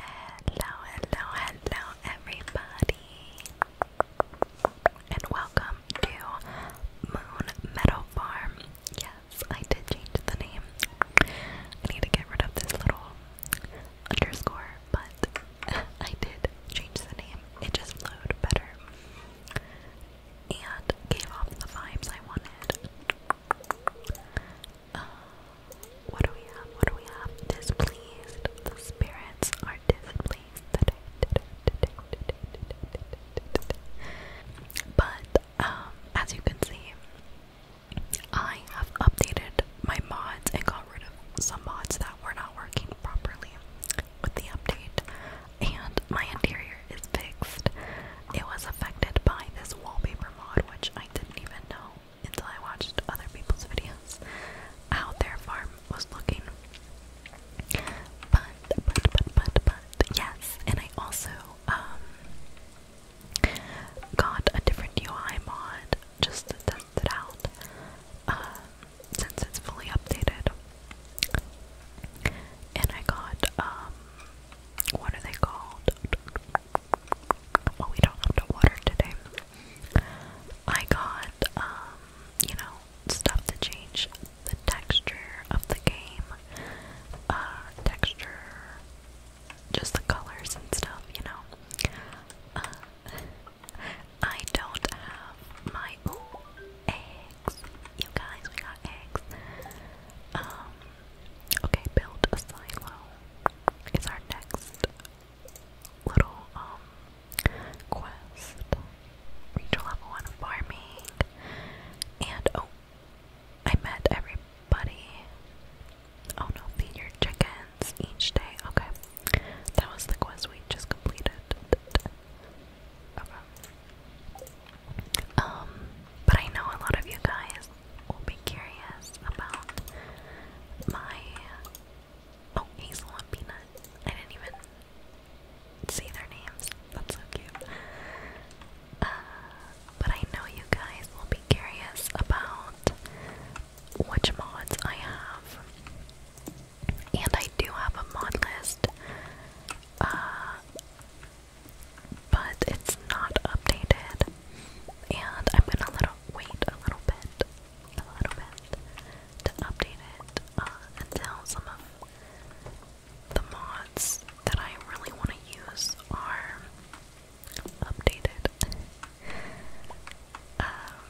Hello, hello, hello, everybody, and welcome to Moon Meadow Farm. Yes, I did change the name. I need to get rid of this little underscore, but I did change the name. It just flowed better and gave off the vibes I wanted. Uh, what do we have? What do we have? Displeased. The spirits are displeased But um, as you can see, I have updated my mods and got rid of some mods that were not working properly with the update. And my interior is fixed. It was affected by this wallpaper mod, which I didn't even know until I watched other people's videos how their farm was looking. But, but, but, but, but, yes, and I also um, got a different UI mod just to test it out um, since it's fully updated. And I got, um, what are they called? Well, we don't have today. I got, um, you know, stuff to change the texture of the game. Uh, texture, just the colors and stuff, you know. Uh, I don't have my, ooh, eggs. You guys, we got eggs. Um, okay, build a silo is our next little um quest. Reach level one farming. And oh I met everybody. Oh no, feed your chickens each day. Okay. That was the quest we just completed. Um, but I know a lot of you guys will be curious about my oh Hazel and Peanut. I didn't even see their names. That's so cute. Uh, but I know you guys will be curious about which mods I have, and I do have a mod list. Uh, but it's not updated and I'm gonna wait a little bit, a little bit, to update it until uh, some of the mods that I really want to use are updated. Um,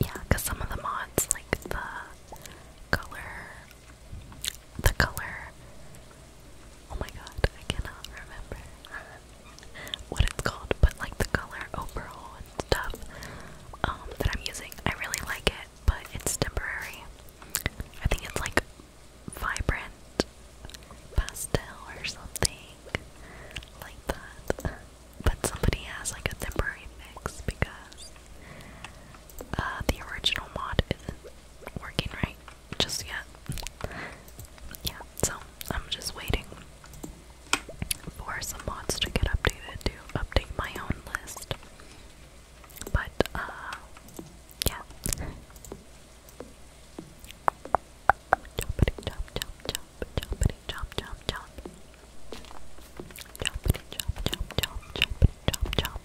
yeah, because some of the mods, like the color, the color. Oh my god, I cannot remember. what it's called, but like the color overall and stuff um, that I'm using. I really like it, but it's temporary. I think it's like vibrant pastel or something like that. But somebody has like a temporary fix because uh, the original mod isn't working right just yet. Yeah, so I'm just waiting for some mods to get updated to update my own list. But, uh, yeah. Choppity chop chop chop, choppity chop chop chop. Choppity chop chop chop, choppity chop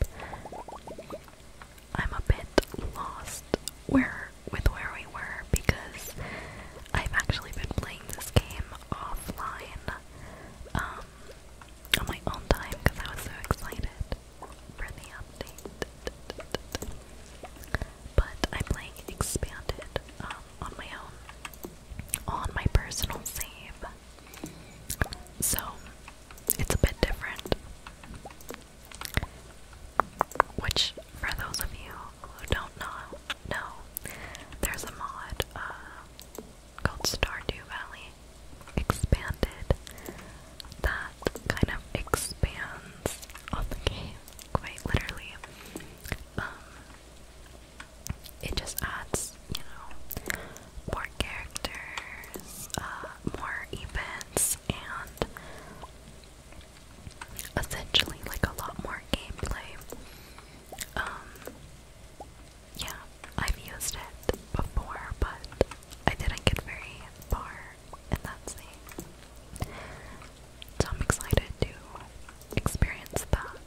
I'm a bit lost where with where we were because I've actually been playing this game offline um, on my own time because I was so excited for the update. But I'm playing Expanded um, on my own, on my personal save. So it's a bit different. Which, for those of you who don't know, know there's a mod uh, called Stardew Valley Expanded that kind of expands on the game quite literally. Um, it just adds, you know, more characters, uh, more events, and essentially like a lot more gameplay. Um, yeah, I've used it before, but I didn't get very far, and that's it. So I'm excited to experience that.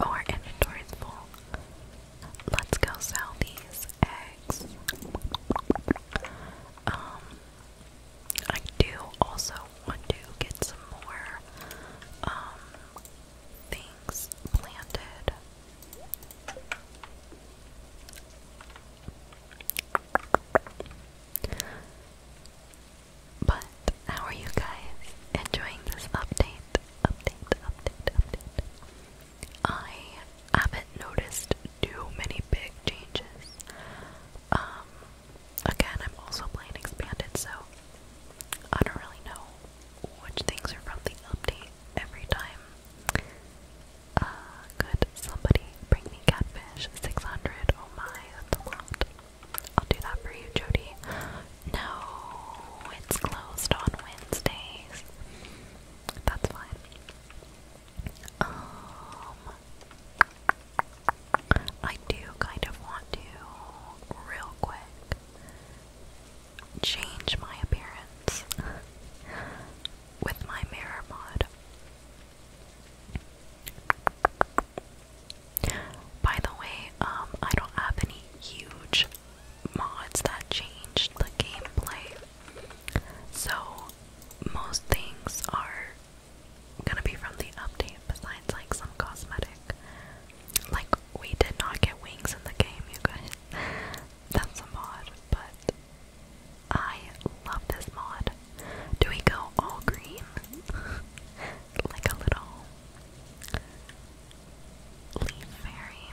our inventory full. Let's go sell these eggs. Um, I do also want to get some more um, things planted. But how are you guys enjoying this update? Update, update, update. I haven't noticed too many big changes. Um, again, I'm also playing Expanded, so I don't really know which things are from the update every time. Uh, could somebody bring me Catfish 600? Oh my, that's a lot. I'll do that for you, Jody. No, it's closed on Wednesdays. That's fine. Um, I do kind of want to, real quick, change my appearance with my mirror mod. By the way, um, I don't have any huge mods that changed the gameplay. So most things are gonna be from the update besides like some cosmetic. Like we did not get wings in the game, you guys. That's a mod, but I love this mod. Do we go all green? like a little leaf fairy?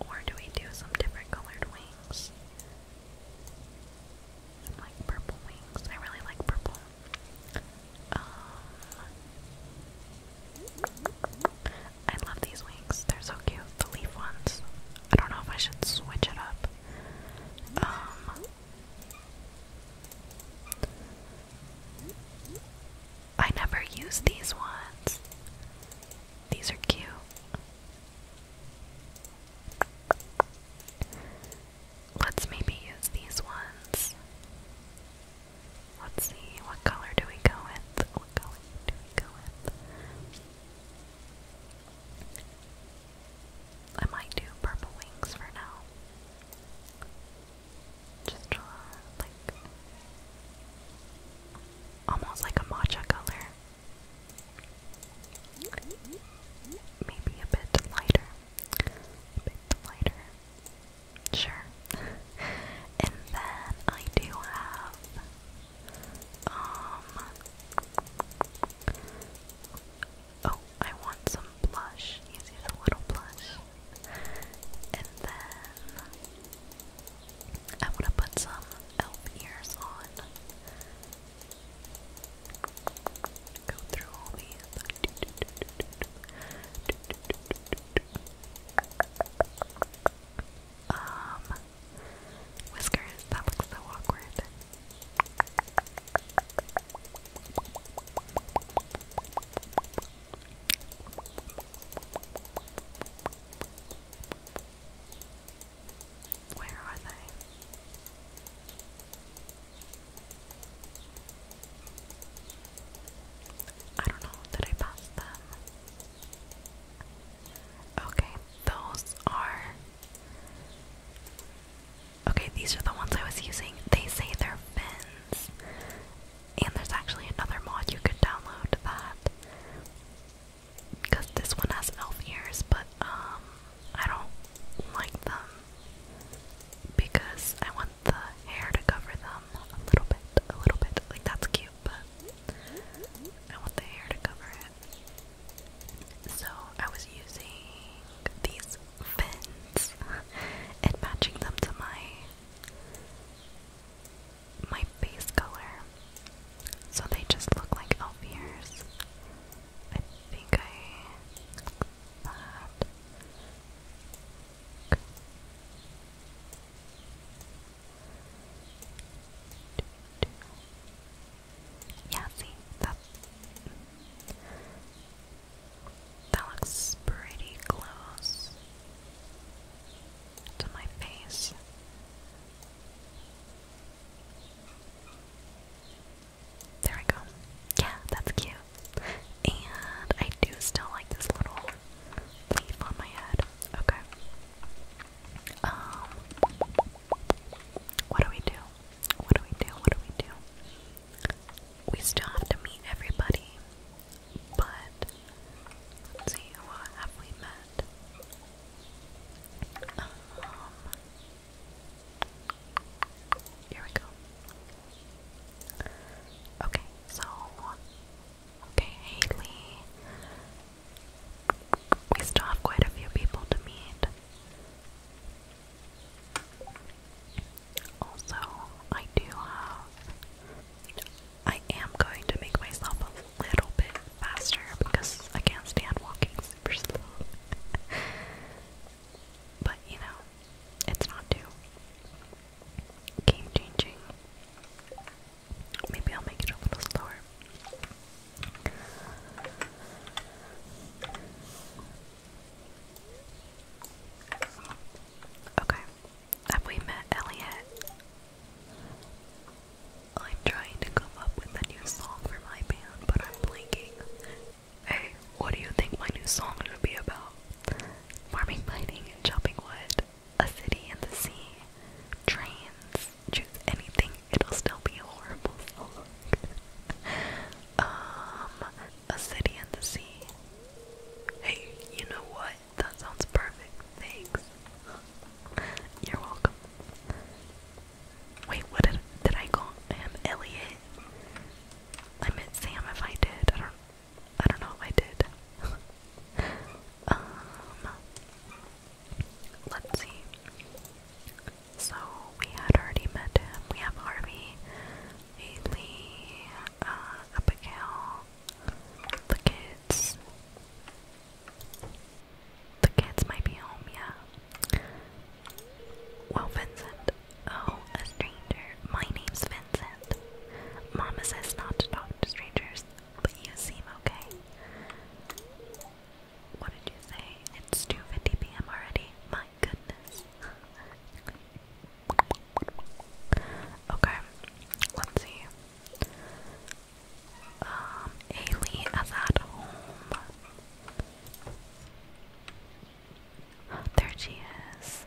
Or do we do some different colored wings? And like purple wings. I really like purple. Um, I love these wings. They're so cute. The leaf ones. I don't know if I should switch it up. Um, I never use these ones. These are cute. Let's maybe use these ones. Let's see, what color do we go with? What color do we go with? I might do purple wings for now. Just draw like almost like a matcha color. Maybe a bit lighter. A bit lighter. Sure. and then I do have um Oh, I want some blush. He's a little blush. And then I am going to put some elf ears on. Go through all these. Um, whiskers, that looks so awkward. Where are they? I don't know. Did I pass them? Okay, those are. Okay, these are the ones I was using. They say they're fins. And there's actually another mod you could download that because this one has elf ears, but um, I don't like them because I want the hair to cover them a little bit, a little bit. Like that's cute, but I want the hair to cover it. So I was using these fins and matching them to my my face color so they just look like elf ears. I think I that. Yeah, see that that looks pretty close to my face. There we go. Yeah, that's cute. And I do still like this little leaf on my head. Okay. Um what do we do? What do we do? What do we do? We still have to meet everybody. But let's see, what have we met? Um, here we go. Okay, so okay, Haley. We still have quite a few people to meet. Also, I do have. I am going to make myself a little bit faster because I can't stand walking super but you know, it's not too game changing. Maybe I'll make it a little slower. Okay. Have we met Elliot? I'm trying to come up with a new song for my band, but I'm blanking. Hey, what do you think my new song will be about? Farming, mining, and chopping wood. A city and the sea. Trains. Choose anything, it'll still be a horrible song. um, a city and the sea. Hey, you know what? That sounds perfect. Thanks. You're welcome. Wait, what did I call him Elliot? I meant Sam if I did. I don't I don't know if I did. um let's see. So we had already met him. We have Harvey, Haley, uh, Abigail, the kids, the kids might be home, yeah. Well, Vincent. Oh, a stranger. My name's Vincent. Mama says not to talk to strangers, but you seem okay. What did you say? It's 2.50 p.m. already. My goodness. okay, let's um, Ailey is at home. There she is.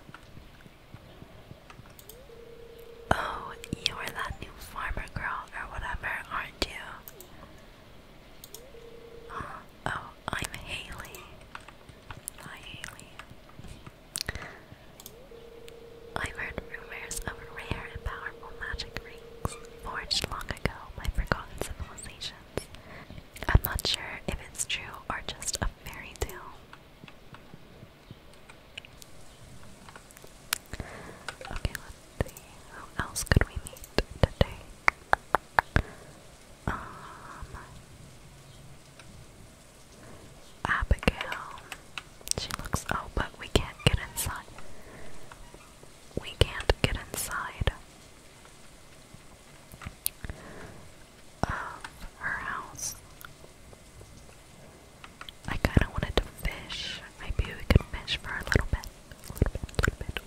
Oh, you are that new farmer girl or whatever, aren't you? Uh, oh, I'm Haley. Hi, Haley. I've heard rumors of rare and powerful magic rings forged long ago by forgotten civilizations. I'm not sure if it's true or just a fairy tale. Okay, let's see. Who else could we meet today? Um, Abigail. She looks. Oh, but we can't get inside. We can't get inside of her house. I kinda wanted to fish. Maybe we could fish for a little bit. A little bit, a little bit,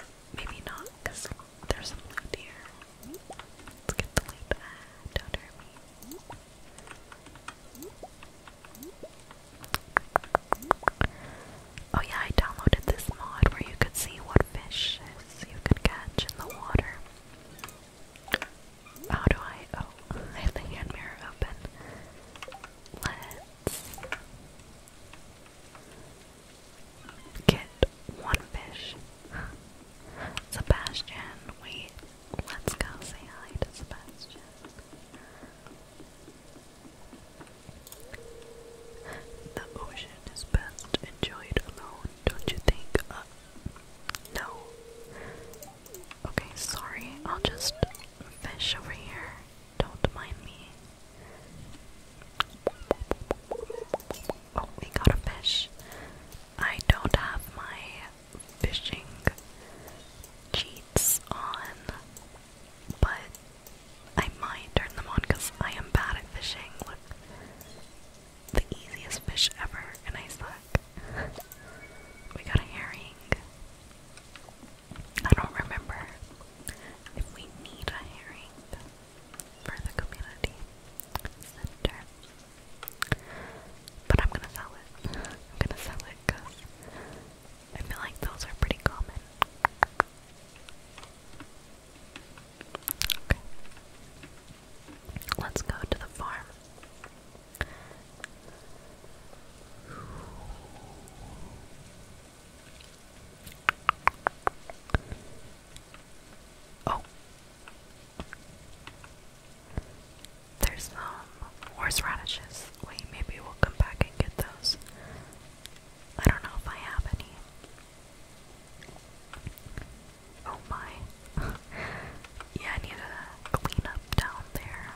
or maybe not, because there's some loot Let's get the loot out of Oh yeah, I downloaded this mod where you could see what fishes you could catch in the water. How do I? Oh, I have the hand mirror open. Let's get one fish. Sebastian, wait. Let's go say hi to Sebastian. The ocean is best enjoyed alone, don't you think? Uh, no. Okay, sorry. I'll just fish over here. Don't mind me. Oh, we got a fish. I don't have my fishing cheats on. But I might turn them on because I am bad at fishing. Look, the easiest fish ever, and I suck. we got a herring. I don't remember if we need a herring for the community center. But I'm gonna sell it. I'm gonna sell it because I feel like those are pretty common. Okay. Let's go to the farm. Oh. There's no um, horseradishes. Wait, maybe we'll come back and get those. I don't know if I have any. Oh my. yeah, I need to clean up down there.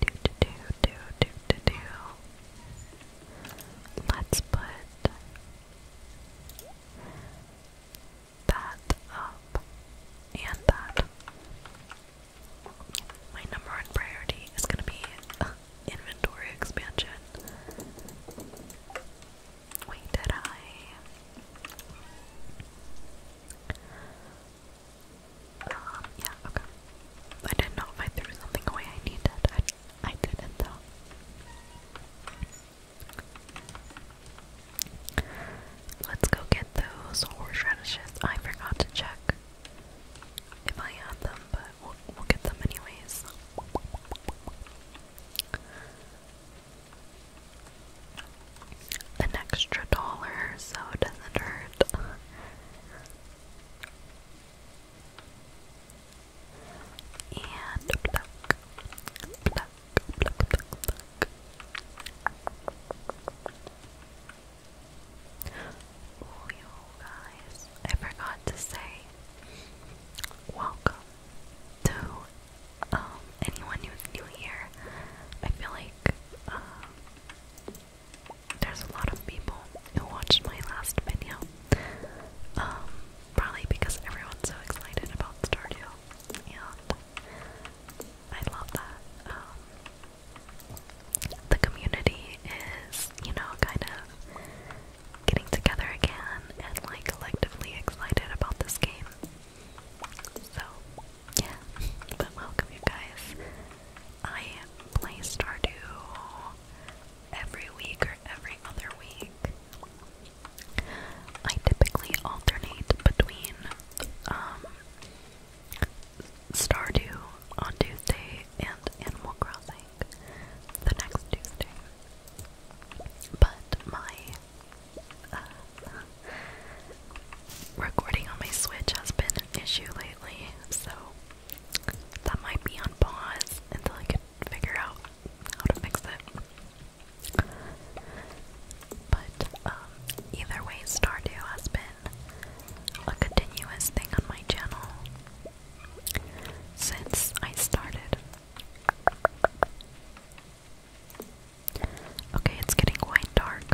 Do do do do do do do. Let's put that up and that. My number one priority is going to be uh, inventory expansion. Wait, did I? Um, yeah, okay. I didn't know if I threw something away I needed. I, I didn't, though. Let's go get those horseradishes. I forgot to check if I had them, but we'll, get them anyways. An extra dollar, so it doesn't hurt. And Oh, you guys, I forgot to say welcome to um, anyone who's new here. I feel like um, there's a lot of people who watched my last video, um, probably because everyone's so excited about Stardew, and I love that. Um, the community is, you know, kind of getting together again and like collectively excited about this game. So, yeah. But welcome, you guys. I play Stardew every week or every other week. I typically alternate between um, Stardew on Tuesday and Animal Crossing the next Tuesday. But my uh, recording on my Switch has been an issue lately, so that might be on pause until I can figure out how to fix it. But um, either way, Stardew has been a continuous thing on my channel since I started. Okay, it's getting quite dark.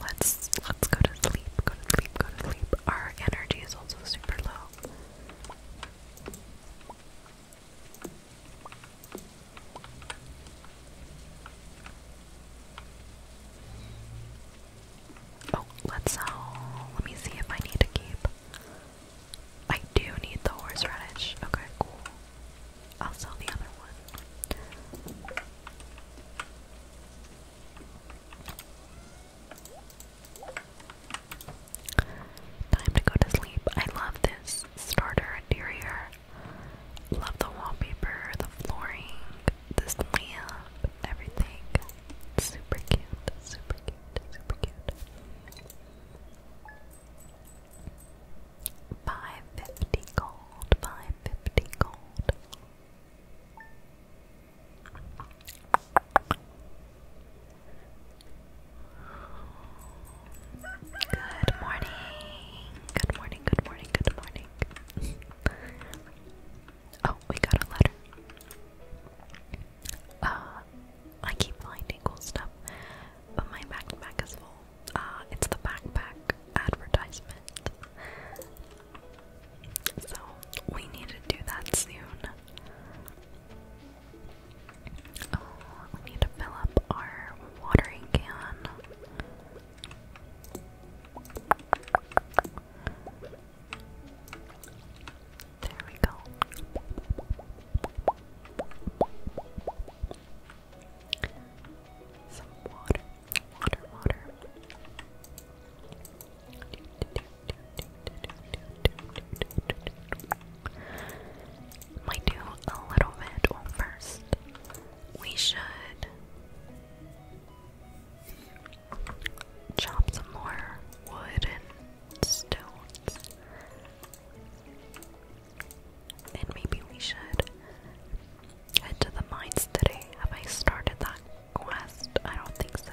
Let's let's go to sleep. Go to sleep. Go to sleep. Our energy is also super low. Oh, let's sell. Uh, let me see if I need to keep. I do need the horseradish. Okay, cool. I'll sell the other one. Time to go to sleep. I love this starter interior. Love the wallpaper, the flooring, this lamp, everything. Super cute, super cute, super cute. 550 gold, 550 gold. Good morning. Good morning, good morning, good morning. oh, we got a letter. Uh, I keep finding cool stuff, but my backpack is full. Uh, it's the backpack advertisement. So, we need to do that soon. Oh, we need to fill up our watering can. There we go. Some water, water, water might do a little bit. first, we should chop some more wood and stones. And maybe we should head to the mines today. Have I started that quest? I don't think so.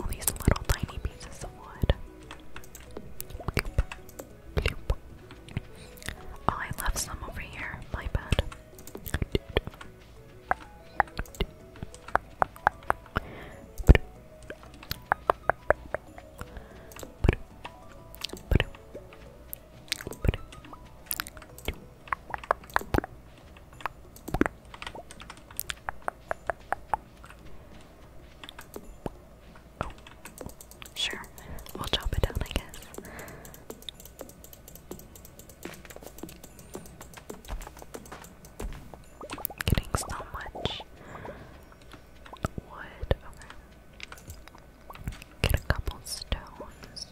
All these little tiny pieces of wood. Oh, I left some over here. My bad sure. We'll chop it down, I guess. Getting so much wood. Get a couple stones.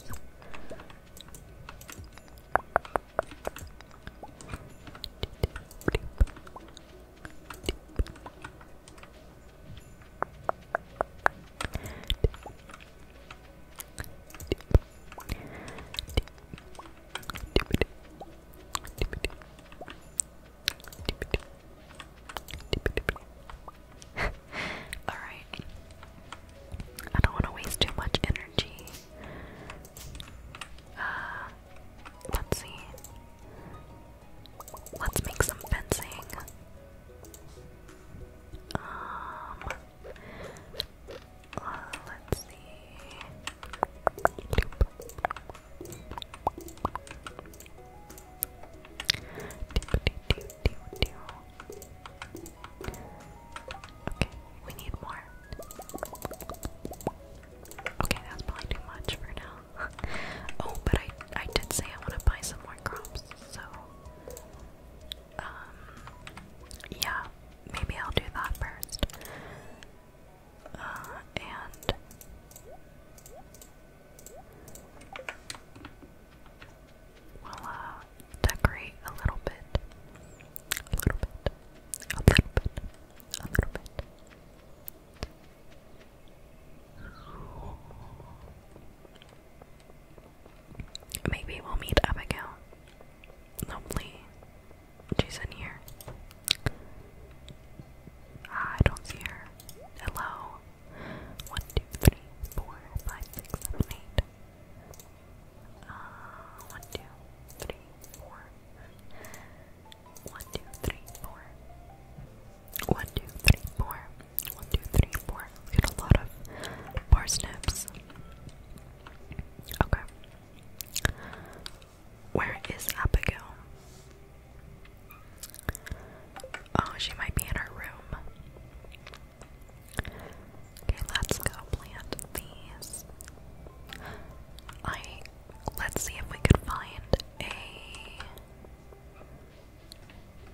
All right. I don't want to waste too much energy. Uh, let's see. Let's make some fencing. Um, uh, let's see. Okay, we need more. Okay, that's probably too much for now. oh, but I I did say I want to buy some more crops, so um yeah, maybe I'll do that first. Uh, and we decorate a little bit. A little bit. A little bit. A little bit. Maybe we'll meet Abigail. Hopefully, she's in here. Ah, I don't see her. Hello. One, two, three, four, five, six, seven, eight. Uh, one, two, three, four. One, two, three, four. One, two, three, four. One, two, three, four. We get a lot of parsnips. Okay. Where is Abigail? Oh, she might be in her room. Okay, let's go plant these. I let's see if we could find a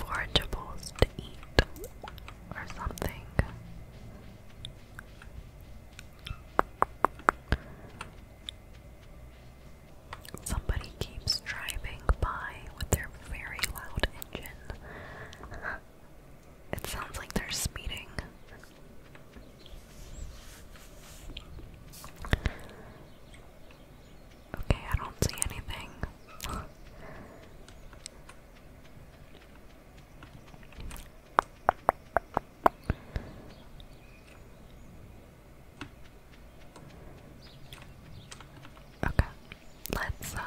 forageables to eat or something. Somebody keeps driving by with their very loud engine. It sounds like they're speeding. Okay, I don't see anything. okay, let's uh,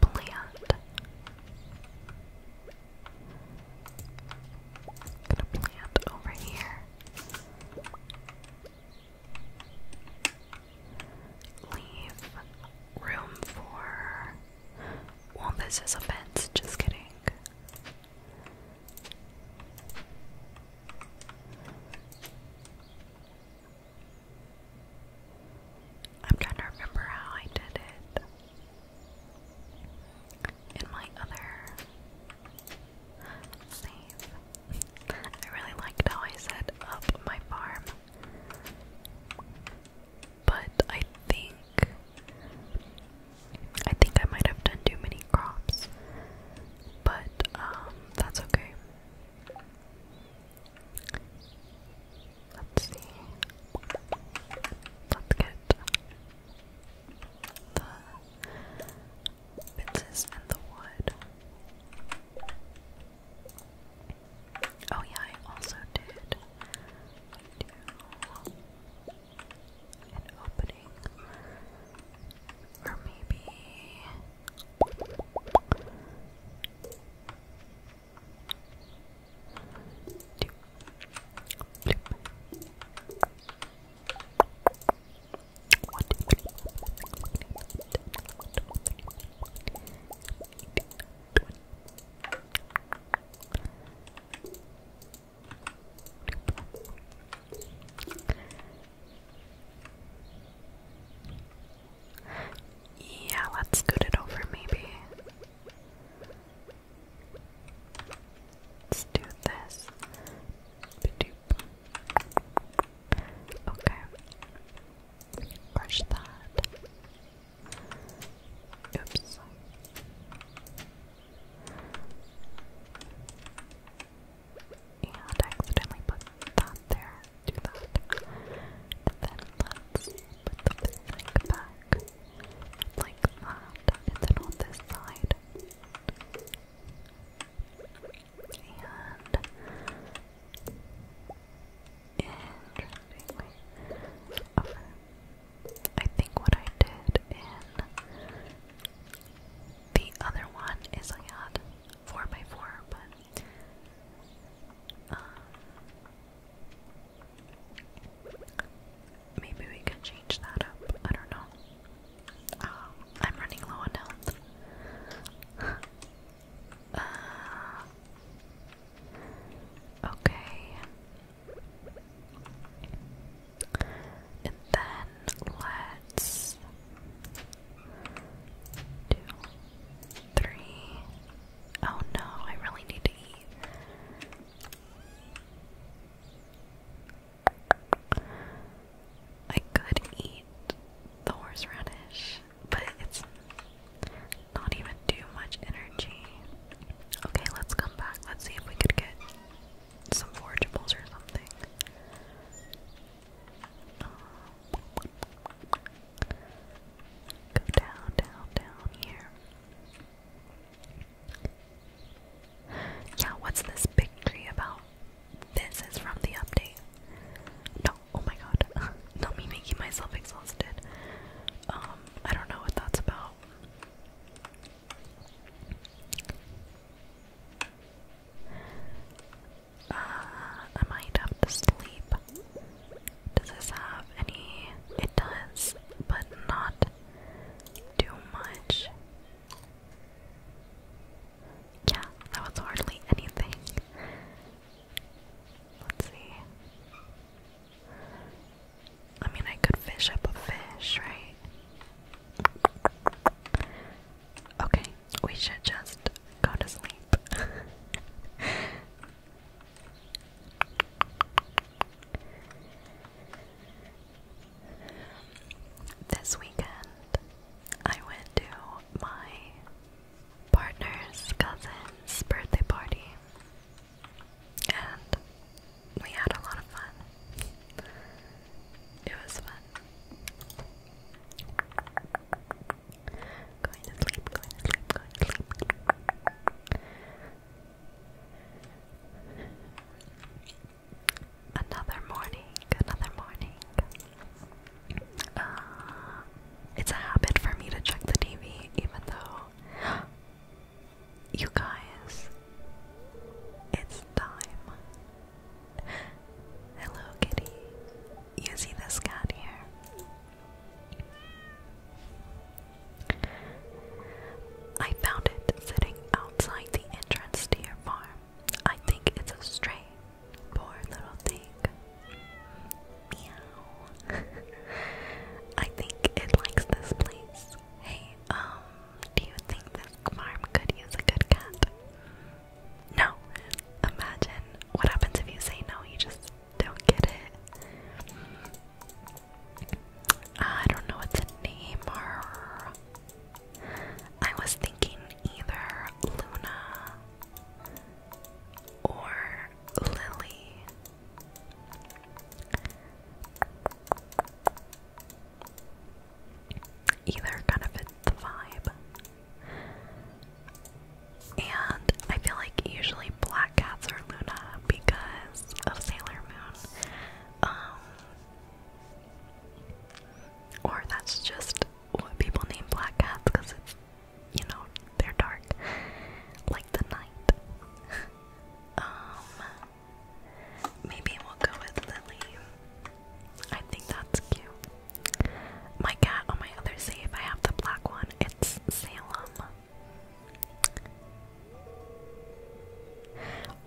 plant. gonna plant over here. Leave room for. Well, this is a fence, just kidding. I'm trying to remember how I did it in my other save. I really liked how I set up my farm, but I think I think I might have done too many crops, but um, that's okay. Let's see. Let's get the fences and the wood. Oh yeah, I also did do an opening. Or maybe yeah, let's scoot it over maybe. Let's do this. Okay. Brush that. Oops. And accidentally put that there. Do that. then let put the bag back like that, and then on this side. And interestingly, I think what I did in the other one is I had four by four, but um, Maybe we can change that up. I don't know. Um, I'm running low on health. Uh, okay. And then let's do three. Oh no, I really need to eat. I could eat the horseradish, but it's not even too much energy. Okay, let's come back. Let's see if we could get some forageables or something. Go down, down, down here. Yeah, what's this big about? This is from the update. No, oh my god. Not me making myself exhausted. Um, I don't know what that's about. Uh, I might have to sleep. Does this have any? It does, but not too much. Yeah, that was hardly anything. Let's see. I mean, I could fish up a fish, right? Okay, we should just go to sleep. This weekend, I went to my partner's cousin's birthday party, and we had a lot of fun. It was fun. Going to sleep, going to sleep, going to sleep. Another morning, another morning. Uh, it's a habit for me to check the TV, even though. You guys, it's time. Hello, kitty. You see this cat here? I found it sitting outside the entrance to your farm. I think it's a stray. Poor little thing. Meow. I think it likes this place. Hey, um, do you think this farm could use a good cat? No. Imagine what happens if you say no, you just don't get it. I don't know what the name are. I was thinking either Luna or Lily. Either kind of fits the vibe. And I feel like usually black cats are Luna because of Sailor Moon. Um, or that's just what people name black cats because it's, you know, they're dark. Like the night. um, maybe we'll go with Lily. I think that's cute. My cat on my other save, I have the black one. It's Salem.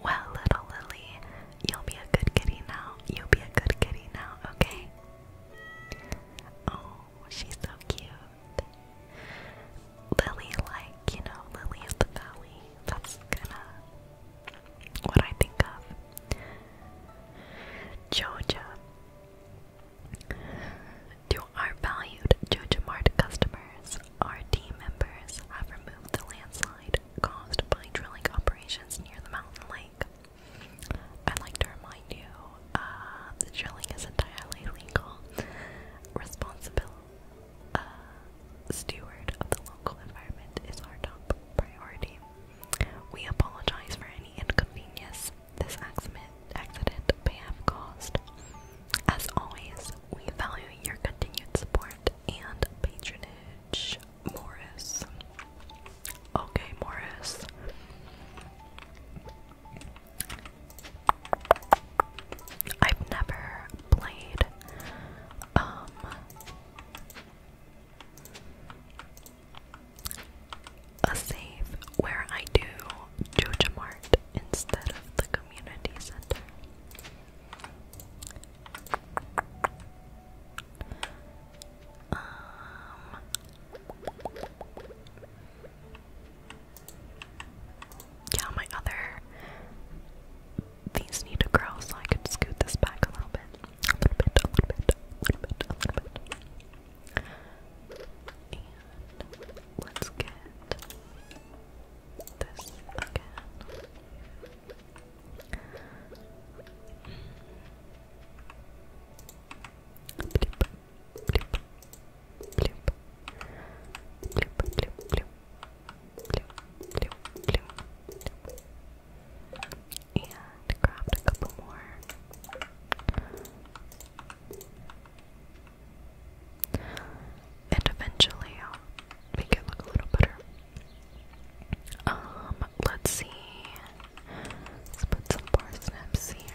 Well, little Lily, you'll be a good kitty now. You'll be a good kitty now, okay? Oh, she's so cute. Lily, like, you know, Lily of the Valley. That's kinda what I think of. Joja. To our valued Jojomart customers, our team members have removed the landslide caused by drilling operations near the mountain lake. I'd like to remind you, uh, the drilling is entirely legal. Responsible uh, steward of the local environment is our top priority. We apologize for any inconvenience this accident, may have caused. As always, we value your continued support and patronage, Morris. Okay, Morris. I've never played um, a save where I do Jojamart instead of the community center. Um, yeah, my other these need to grow, so I could scoot this back a little bit, a little bit, a little bit, a little bit, a little bit let's get this again. Bloop, bloop, bloop, bloop, bloop, bloop. Bloop, bloop, bloop, bloop. And grabbed a couple more. And eventually I'll make it look a little better. Um, let's see. Let's put some parsnips here.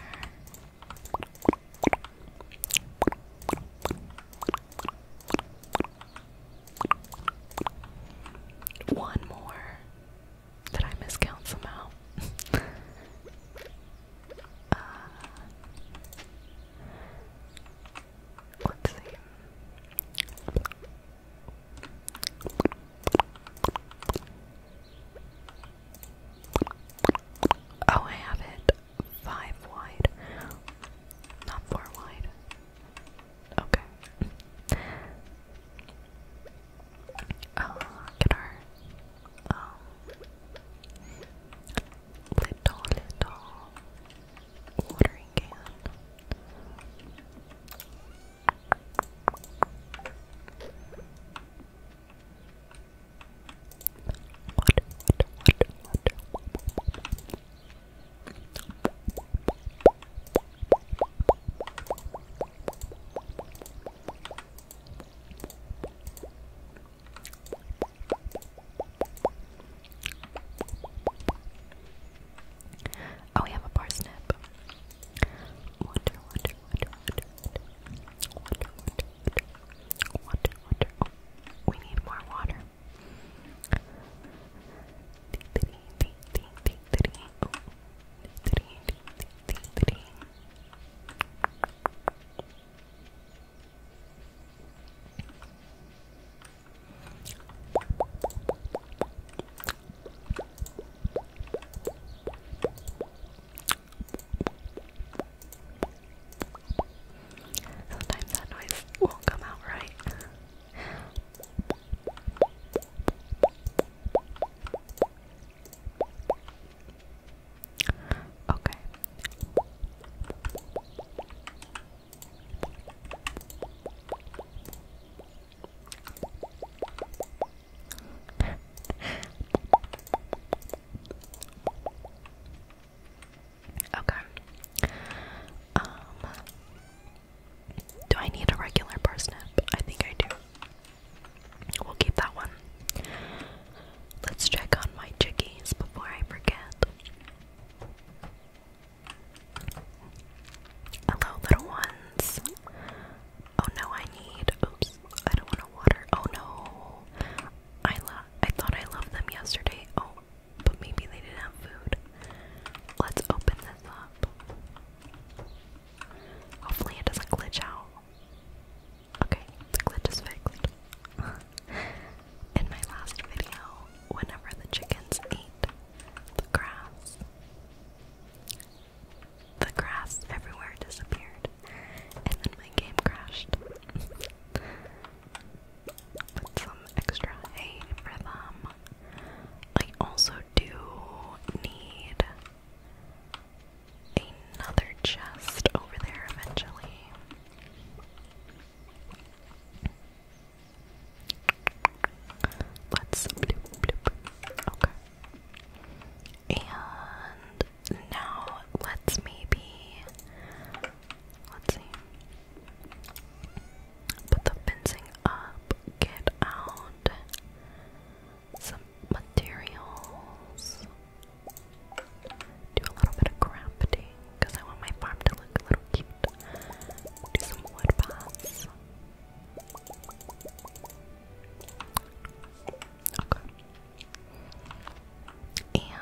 One more. Did I miscount somehow? Uh, let Oh, I have it five wide, not four wide. Okay. Oh, look at little, little watering can. What, what, Oh, we have a parsnip. Water, water, water, water, water, water, water, water, Oh, we need more water. Sometimes that noise won't come out right. Okay. okay. Um do I need a regular parsnip? I think I do. We'll keep that one. Let's check on my chickies before I forget. Hello, little ones. Oh no, I need. Oops, I don't want to water. Oh no, I love. I thought I loved them yesterday. Oh, but maybe they didn't have food. Let's open this up. Hopefully, it doesn't glitch out. Okay, the glitch is fixed. In my last video, whenever the chickens ate the grass, the grass everywhere disappeared, and then my game crashed. Put some extra hay for them. I also do need another chest over there eventually. Let's bloop, bloop. Okay. And now let's maybe let's see. Put the fencing up, get out some materials. Do a little bit of crafting because I want my farm to look a little cute. Do some wood Okay. And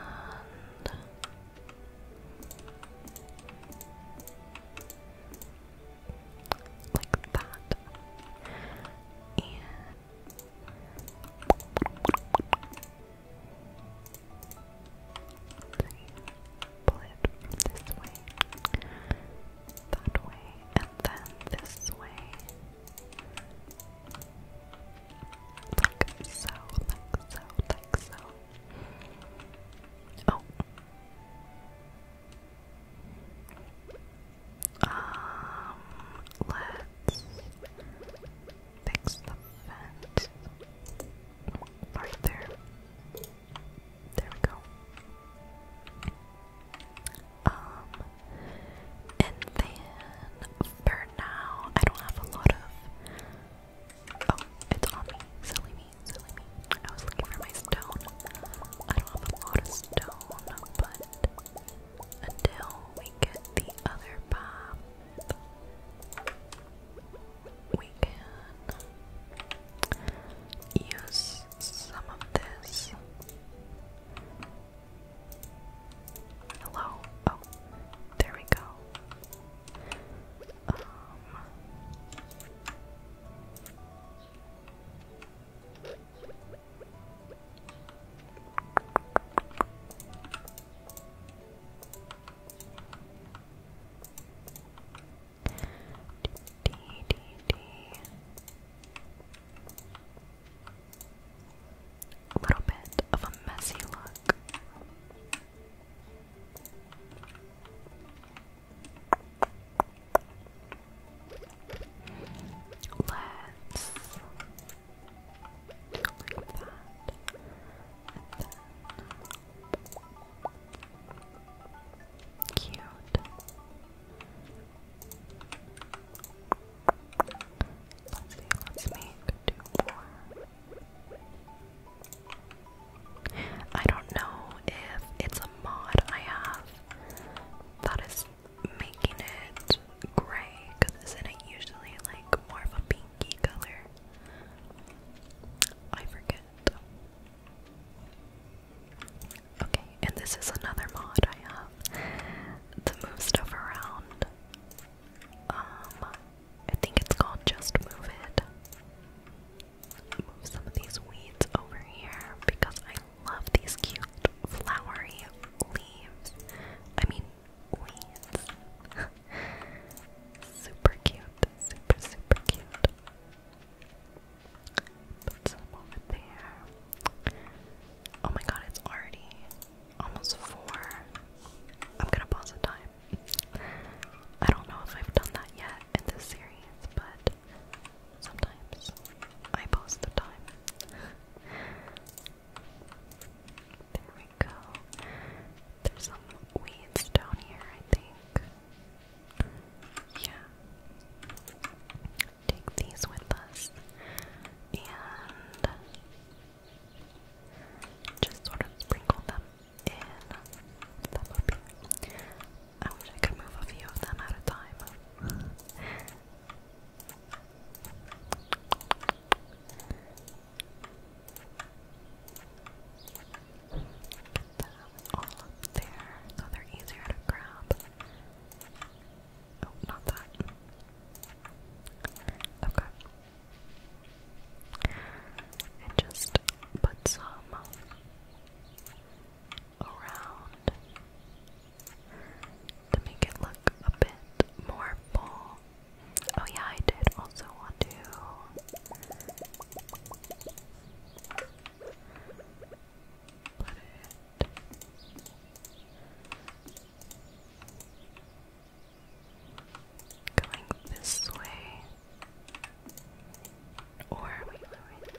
like that. And Pull it this way, that way, and then this way. Like so, like so, like so. Oh. Um, let's fix the vent right there. There we go. Um, and then for now, I don't have a lot of. Oh, it's on me. Silly me, silly me. I was looking for my stone. I don't have a lot of stone, but until we get the other bomb we can use some of this. Hello. Oh, there we go. Um, D, D, D. A little bit of a messy look. Let's Cute. Let's see, let's make two more. I don't know if it's a mod I have that is making it gray because isn't it usually like more of a pinky color? I forget. Okay, and this is another mod I have to move stuff around. Um, I think it's called Just Move It. Move some of these weeds over here because I love these cute flowery leaves. I mean, weeds. Super cute, super, super cute. Put some over there. Oh my god, it's already almost four. I'm gonna pause the time. I don't know if I've done that yet in this series, but sometimes I pause the time. There we go. There's some weeds down here, I think. Yeah. Take these with us. And just sort of sprinkle them in. That would be. I wish I could move a few of them at a time. all up there so they're easier to grab. Oh, not that. Okay. And just put some around to make it look a bit more full Oh yeah, I did also want to put it going this way. Or wait, wait, wait.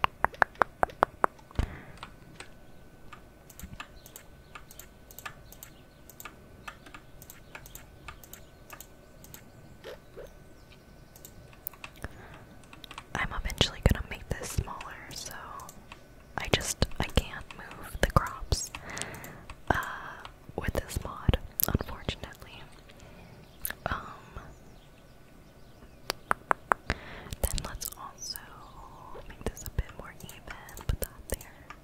I'm eventually gonna make this smaller, so I just I can't move the crops uh, with this mod, unfortunately. Um, then let's also make this a bit more even. Put that there.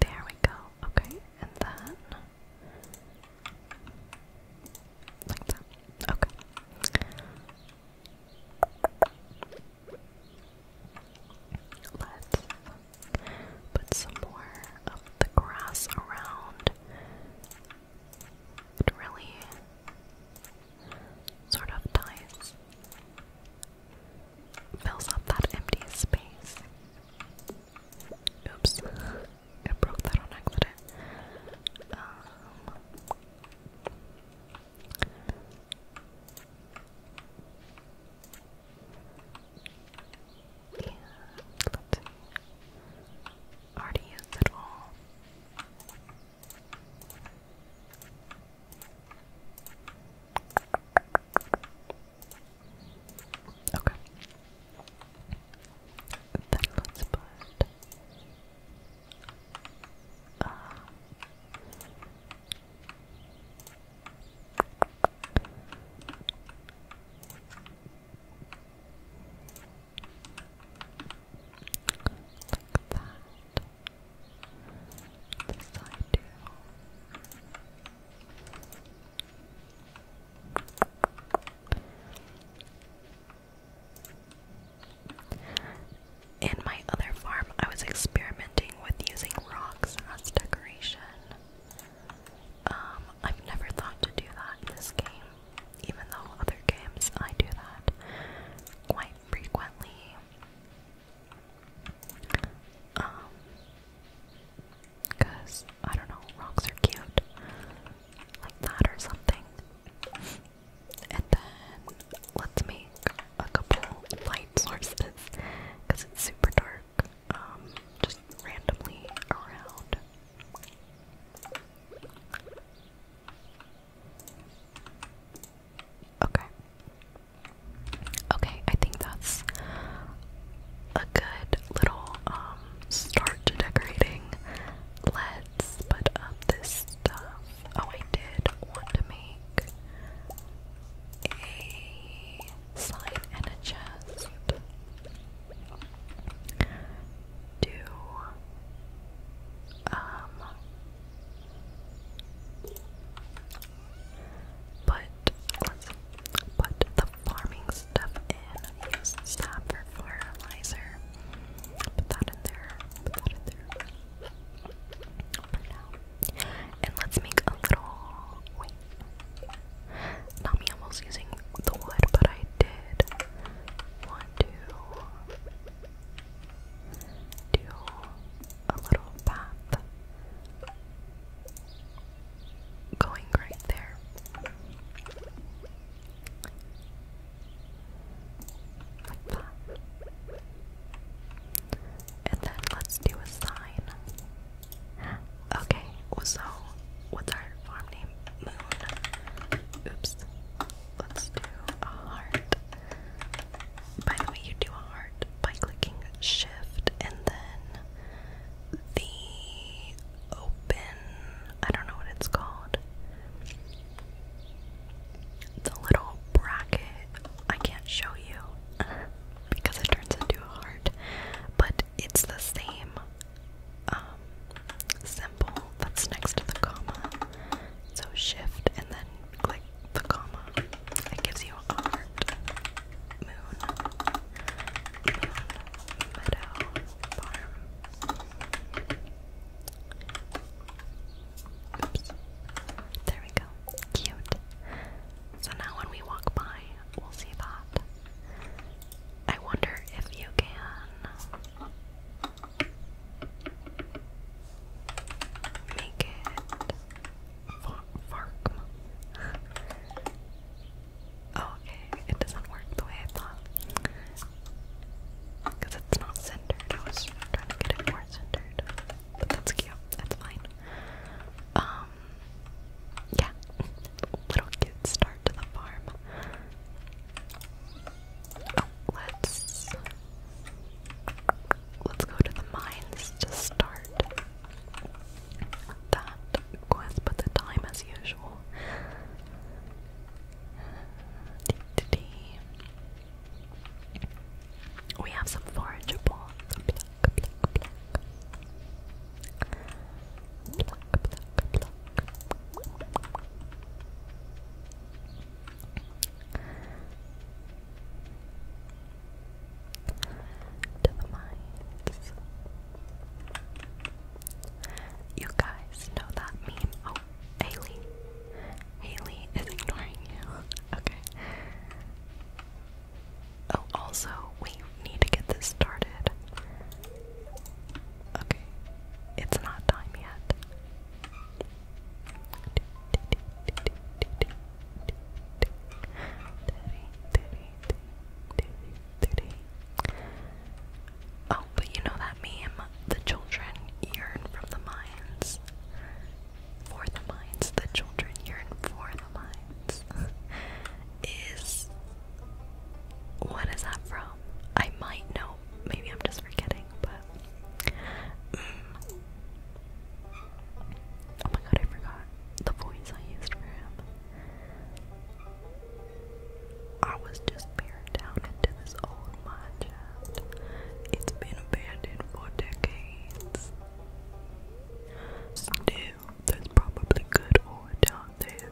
There we go. Okay, and then like that. Okay. Let's put some more of the grass around. It really sort of ties fills up that empty space. Oops, I broke that on accident. Um, Already used it all. Okay. Then let's put uh, like that. In my other farm, I was experimenting with using rocks as decoration. Um, I've never thought to do that in this game, even though other games I do that quite frequently. Um, cause I don't know, rocks are cute, like that or something. And then let's make a couple light sources, cause it's super dark. Um, just randomly around. Okay. Okay, I think that's a good little um, start to decorating. Let's put up this stuff. Oh, I did want to make a slime and a chest. Do um but let's put the farming stuff in. Use fertilizer. Put that in there. Put that in there. And let's make a little. Not me almost using the wood, but I did want a little path going right there. Like that. And then let's do a sign. Okay, so what's our farm name? Moon. Oops. Let's do a heart by the way, you do a heart by clicking shift and then the open, I don't know what it's called, the little bracket. I can't show you because it turns into a heart, but it's the same um, symbol that's next to the comma. So shift and then click the comma. It gives you a heart, Moon. Meadow. Farm. Oops. There we go. Cute. So now when we walk by, we'll see that. I wonder if you can make it Farkm. Oh, okay, it doesn't work the way I thought. Because it's not centered. I was trying to get it more centered. But that's cute. That's fine. Um, yeah. Little cute start to the farm. let's let's go to the mines to start that quest, but the time as usual. We have some forageable. Pluck, you guys know that meme. Oh, Haley. Haley is ignoring you. Okay. Oh, also, we need to get this started. Okay. It's not time yet. Oh, but you know that meme? The children yearn from the mines. For the mines. The children yearn for the mines. is. What is that from? I might know. Maybe I'm just forgetting, but. Mm, Oh my god, I forgot the voice I used for him. I was just peered down into this old mine It's been abandoned for decades. Still, there's probably good ore down there,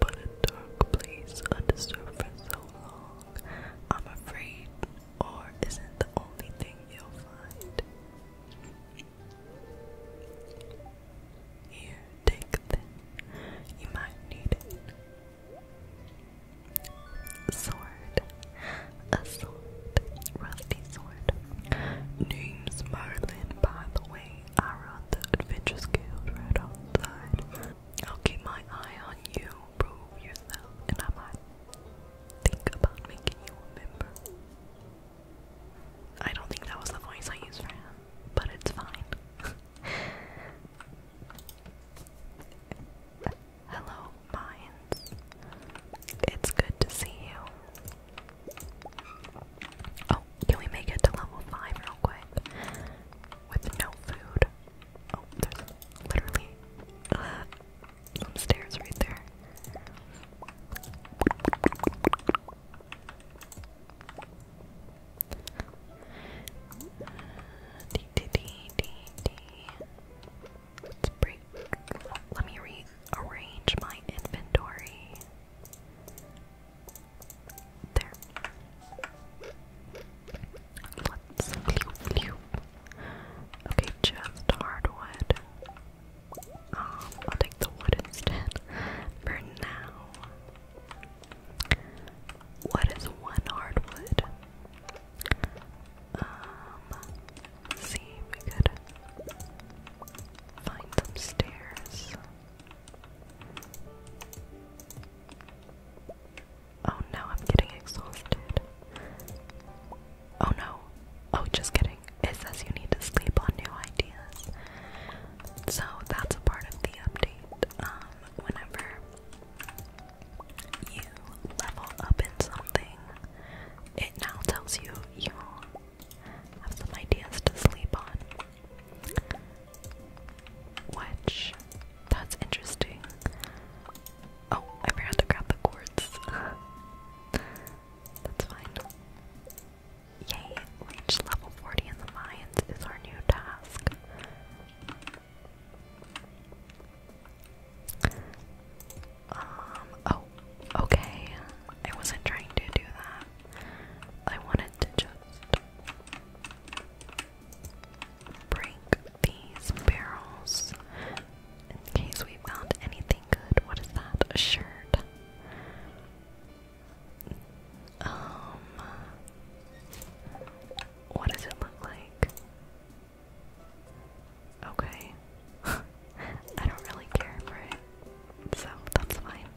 but a dark place under surface so long. I'm afraid ore isn't the only thing you'll find. Here, take this. You might need it. Sword. A sword. Rusty sword. Name's Merlin, by the way. I run the Adventures Guild right outside. I'll keep my eye on you. Prove yourself, and I might think about making you a member. I don't think that was the voice I used for him, but it's fine. Hello, minds. It's good to see you. Oh, can we make it to level 5 real quick? With no food. Oh, there's literally some stairs right there. D -d -d -d -d. Let's break. let me rearrange my inventory. There. Let's. Okay, just hardwood. Um, I'll take the wood instead for now. What is one hardwood? Um, let's we could find some stairs. Oh no, I'm getting exhausted. Oh no. Oh, just kidding. It says you need to sleep on new ideas. So that's a part of the update. Um, whenever you level up in something, it now tells you you have some ideas to sleep on. Which, that's interesting. Oh, I forgot to grab the quartz. That's fine. Yay, reach level 40 in the mines is our new task. Um, oh, okay. I wasn't trying to do that. I wanted to just break these barrels in case we found anything what is that? A shirt. Um, what does it look like? Okay, I don't really care for it, so that's fine.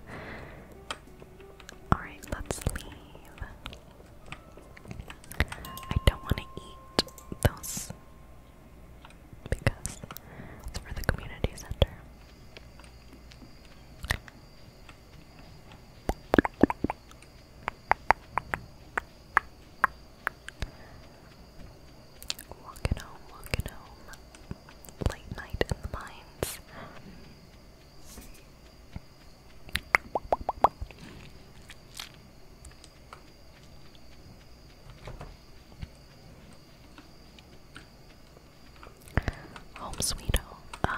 Alright, let's leave. I don't want to eat those because it's for the community center. Walking home, walking home. Late night in the mines. Home sweet home. Uh,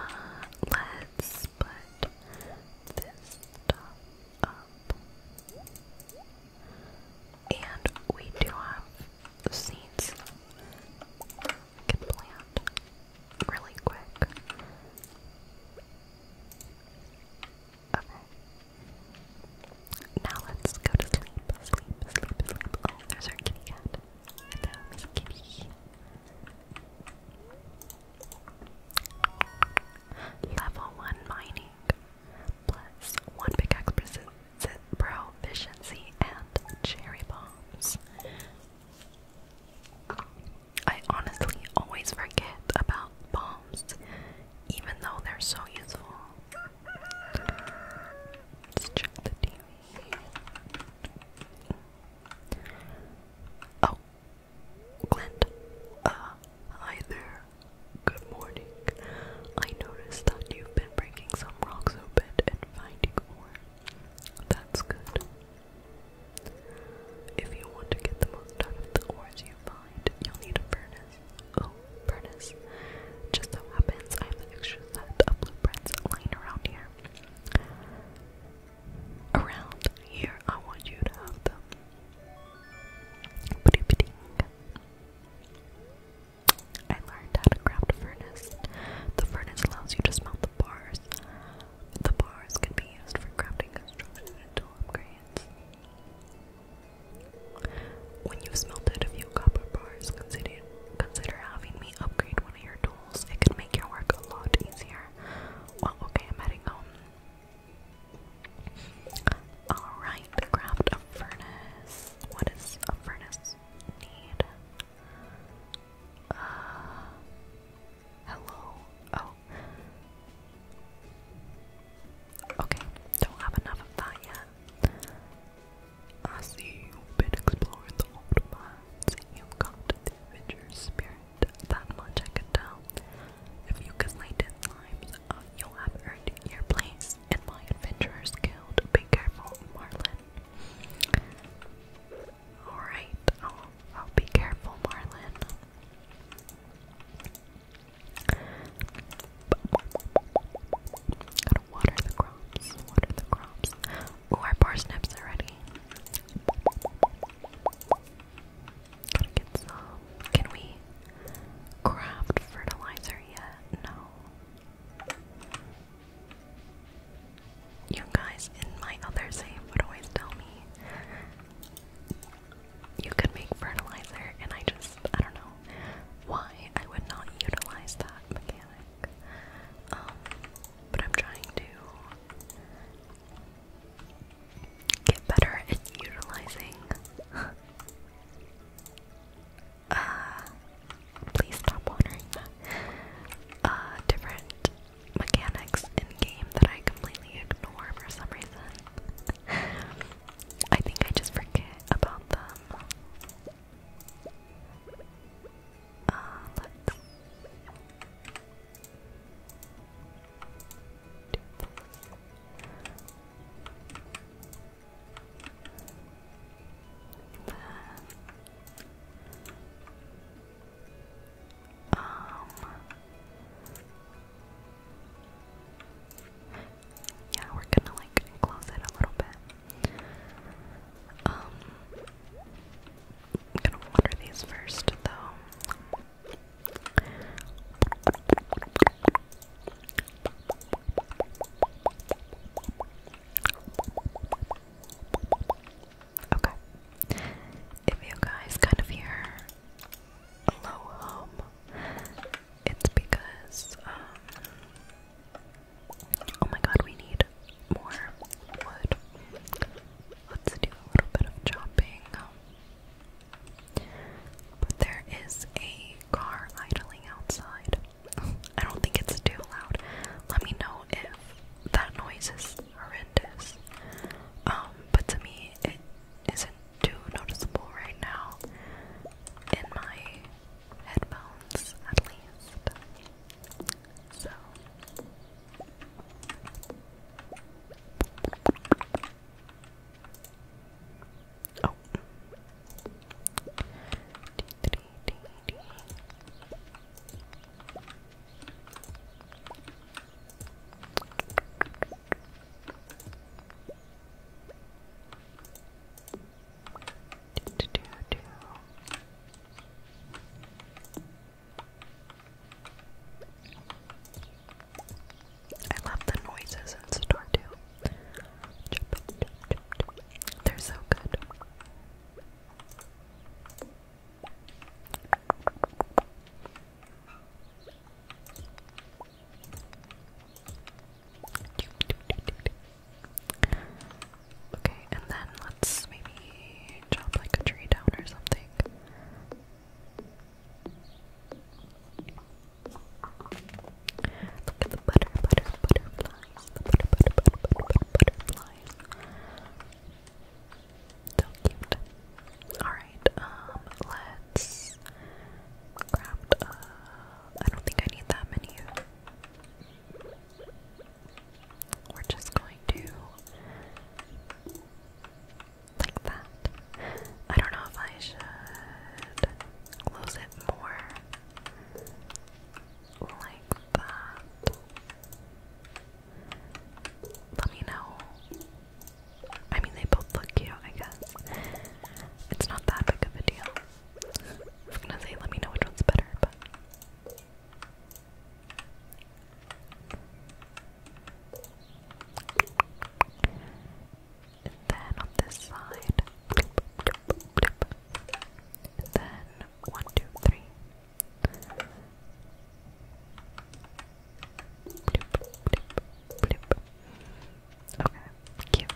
let's put this stuff up. And we do have seeds. We plant really quick. Okay. Now let's go to sleep. Sleep, sleep, sleep. Oh, there's our kitty cat. Hello, Miss Kitty. Level 1 mining. Plus 1 pickaxe proficiency and cherry bombs. I honestly always forget about bombs, even though they're so useful. Let's check the TV. Oh, Clint. Uh, hi there. Good morning. I noticed that you've been breaking some rocks open and finding ore. That's good. If you want to get the most out of the ores you find, you'll need a furnace. Oh, furnace. Just so happens I have extra set of blueprints lying around here. Around here, I want you to have them. I learned how to craft furnace. The furnace allows you to smelt the bars. The bars can be used for crafting construction tool upgrades. When you've smelted a few copper bars, consider consider having me upgrade one of your tools. It can make your work a lot easier. Well, oh, okay, I'm heading home. Alright, craft a furnace. What a furnace need? Uh, hello? Oh. Okay, don't have enough of that yet. I see you've been exploring the old mines. You've got the adventurous spirit. That much I can tell. If you can lay ten limes, uh, you'll have earned your place in my adventurer's guild. Be careful, Marlin. Alright, i be careful, Marlin water the crops, water the crops. Oh, our parsnips are ready. Gotta get some. Can we craft fertilizer yet? No. You guys in my other save would always tell me you could make fertilizer, and I just, I don't know, why I would not utilize that mechanic. Um, but I'm trying to get better at utilizing. uh, please stop wondering that. Uh, different mechanics in game that I completely ignore for some reason. I think I just forget about them. Uh, let um, yeah, we're gonna like close it a little bit. Um, I'm gonna water these first, though. Okay. If you guys kind of hear a low it's because um, Oh my god, we need more wood. Let's do a little bit of chopping. But there is a car idling outside. I don't think it's too loud. Let me know if that noise is horrendous. Um, but to me, it isn't too noticeable right now in my headphones at least. So Oh. I love the noises in store too. They're so good. Okay, and then let's maybe chop like a tree down or something. Look at the butter, butter, butterflies. The butter, butter, butter, So cute. Alright, um, let's craft, uh, I don't think I need that many we're just going to like that. I don't know if I should close it more like that. Let me know. I mean, they both look cute, I guess. It's not that big of a deal. I was gonna say, let me know which one's better, but. then on this side. then one, two, three. Okay. Cute.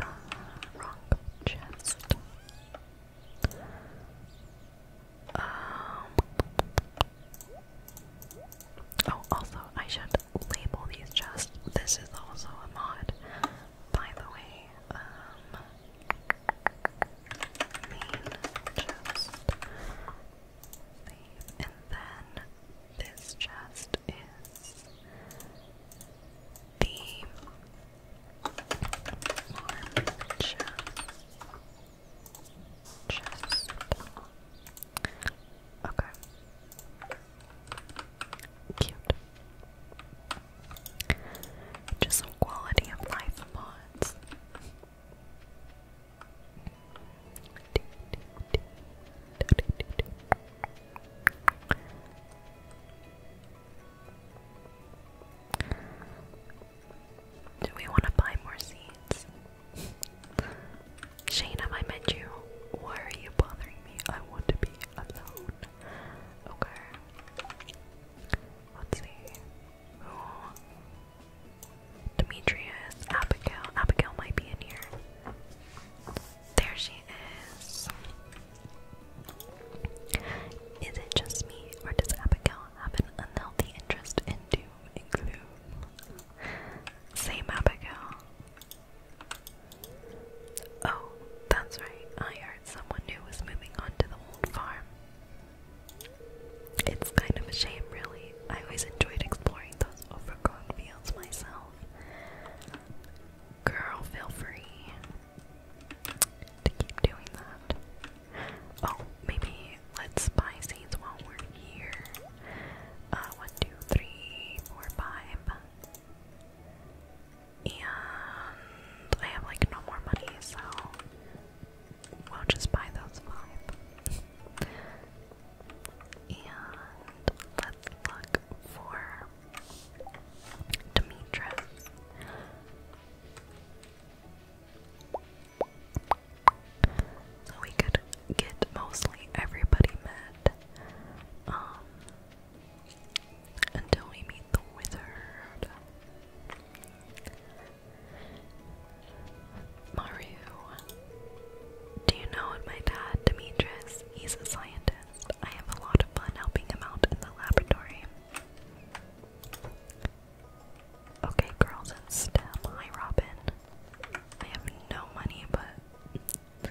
Uh, wrong chest. Um. Oh, also, I should label these chests. This is also a mod, by the way. Um, main chest. And then this chest is the warm chest. Okay. Cute. Just some quality of life mods. Do we want to buy more seeds? Shayna, I met you. Why are you bothering me? I want to be alone. Okay. Let's see. Demetrius, Abigail. Abigail might be in here. There she is. Is it just me, or does Abigail have an unhealthy interest in doom and gloom? Same Abigail. Oh, that's right. I heard someone new was moving on the old farm. It's kind of a shame, really. I always enjoyed exploring those overgrown fields myself. Girl, feel free to keep doing that. Oh, maybe let's buy seeds while we're here. Uh, one, two, three, four, five. And I have like no more money, so we'll just buy those five. And let's look for Demetra. So we could get mostly everybody met um, until we meet the wizard. Mario. Do you know my dad, Demetrius? He's a scientist. I have a lot of fun helping him out in the laboratory. Okay, girls in STEM. Hi, Robin. I have no money, but.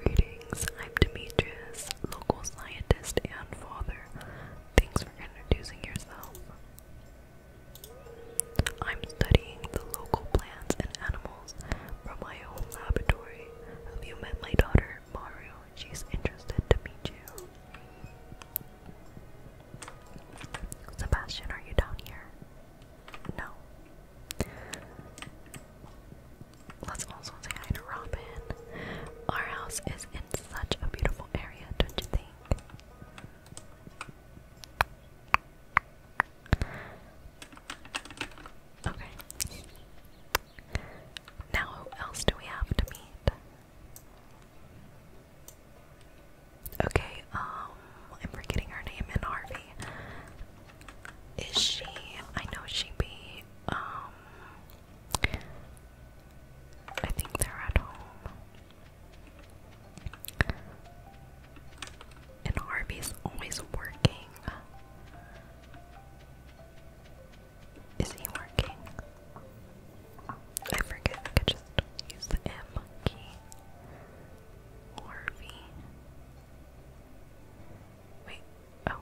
Greetings, I'm Demetrius, local scientist and father. Thanks for introducing yourself. I'm studying the local plants and animals from my own laboratory. Have you met my daughter, Mario? She's interested to meet you. Sebastian, are you down here? No. Let's also say hi to Robin. Our house is in such a beautiful area, don't you think? Okay. Now, who else do we have to meet? Okay, um, I'm forgetting her name in Harvey. Is she, I know she be, um, I think they're at home. And Harvey's always working. Is he working? I forget. I could just use the M key. Harvey. Wait. Oh.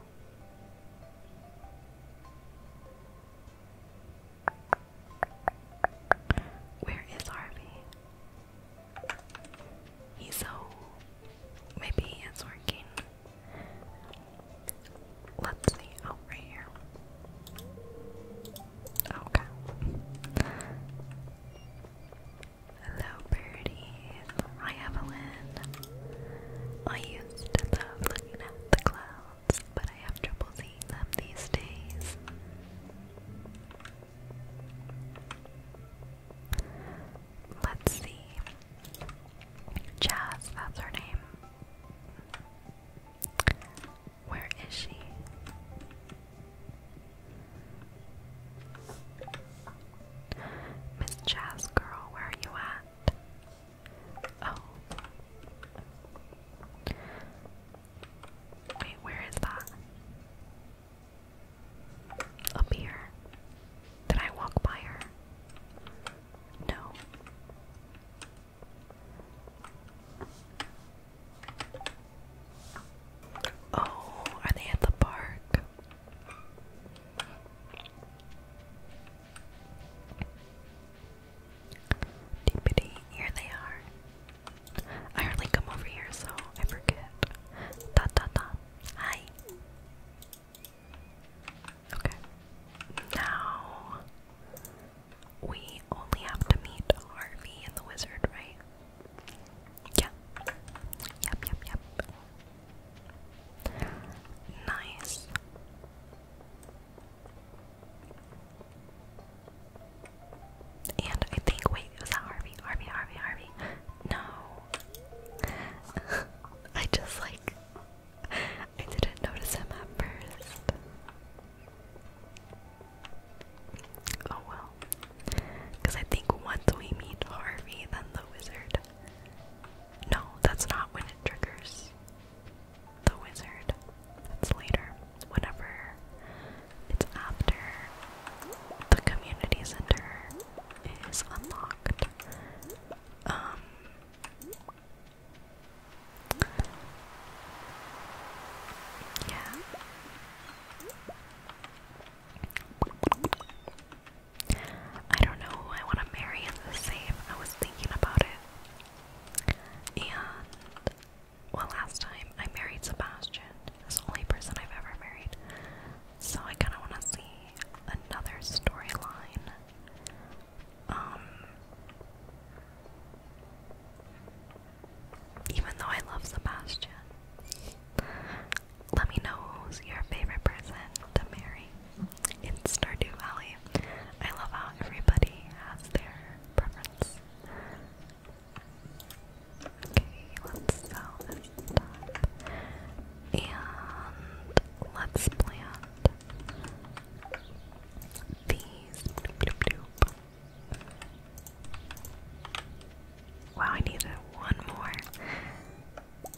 Where is Harvey? He's so maybe it's working. Let's see. Oh, right here. Okay. Hello, birdies. Hi, Evelyn. I used to love looking at the clouds, but I have trouble seeing them these days let's see. Jazz, that's her name. Where is she? Miss Jazz Girl, where are you at? Oh. Wait, where is that? Up mirror. Did I walk by her? No. Oh, are they at the park? Dippity, here they are. I hardly come over here, so I forget. Dot dot dot. Hi. Okay. Now we only have to meet Harvey and the wizard, right? Yeah. Yep, yep, yep. Nice. And I think, wait, was that Harvey? Harvey, Harvey, Harvey. No, I just like I didn't notice him at first. Oh well. Because I think once we meet Harvey, then the wizard. No, that's not when it triggers. The wizard. That's later. Whenever it's after the community center is unlocked. Um Yeah. I don't know who I want to marry in the same. I was thinking about it. And well last time I married Sebastian He's the only person I've ever married. So I kind of want to see another storyline. Um, even though I love Sebastian, let me know who's your favorite person to marry in Stardew Valley. I love how everybody has their preference. Okay, let's sell and let's plant these. Wow, I needed one more.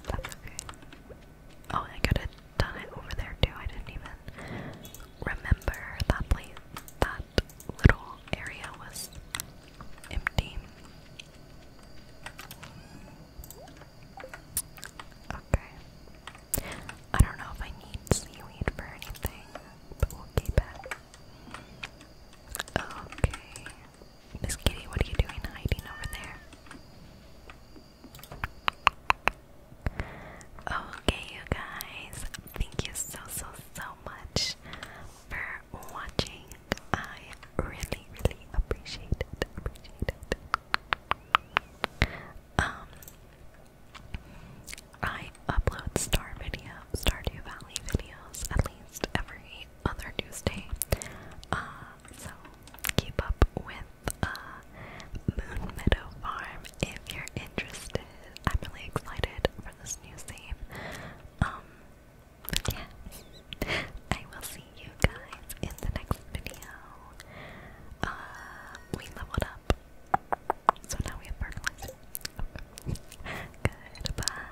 That's okay. Oh, I could have done it over there too. I didn't even remember that place. That little area was empty. Okay. I don't know if I need seaweed for anything, but we'll keep it. Okay. Miss Kitty, what are you doing hiding over there? Okay, you guys. Thank you so, so, so much for watching. I really, really appreciate it. Um, I upload Star Video, Stardew Valley videos at least every other Tuesday. Uh, so keep up with uh, Moon Meadow Farm if you're interested. I'm really excited for this new theme. Um, yes. I will see you guys in the next video. Uh, we leveled up. So now we have fertilizer. Okay. Goodbye.